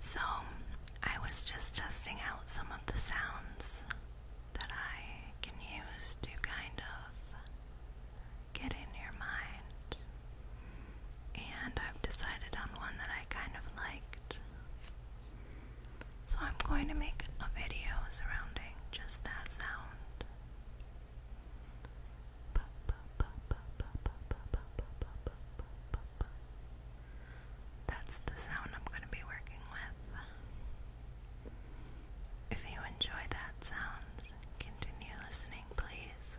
So, I was just testing out some of the sounds that I can use to kind of get in your mind. And I've decided on one that I kind of liked. So, I'm going to make a video surrounding just that sound. That's the sound I'm going to be working with. If you enjoy that sound, continue listening, please.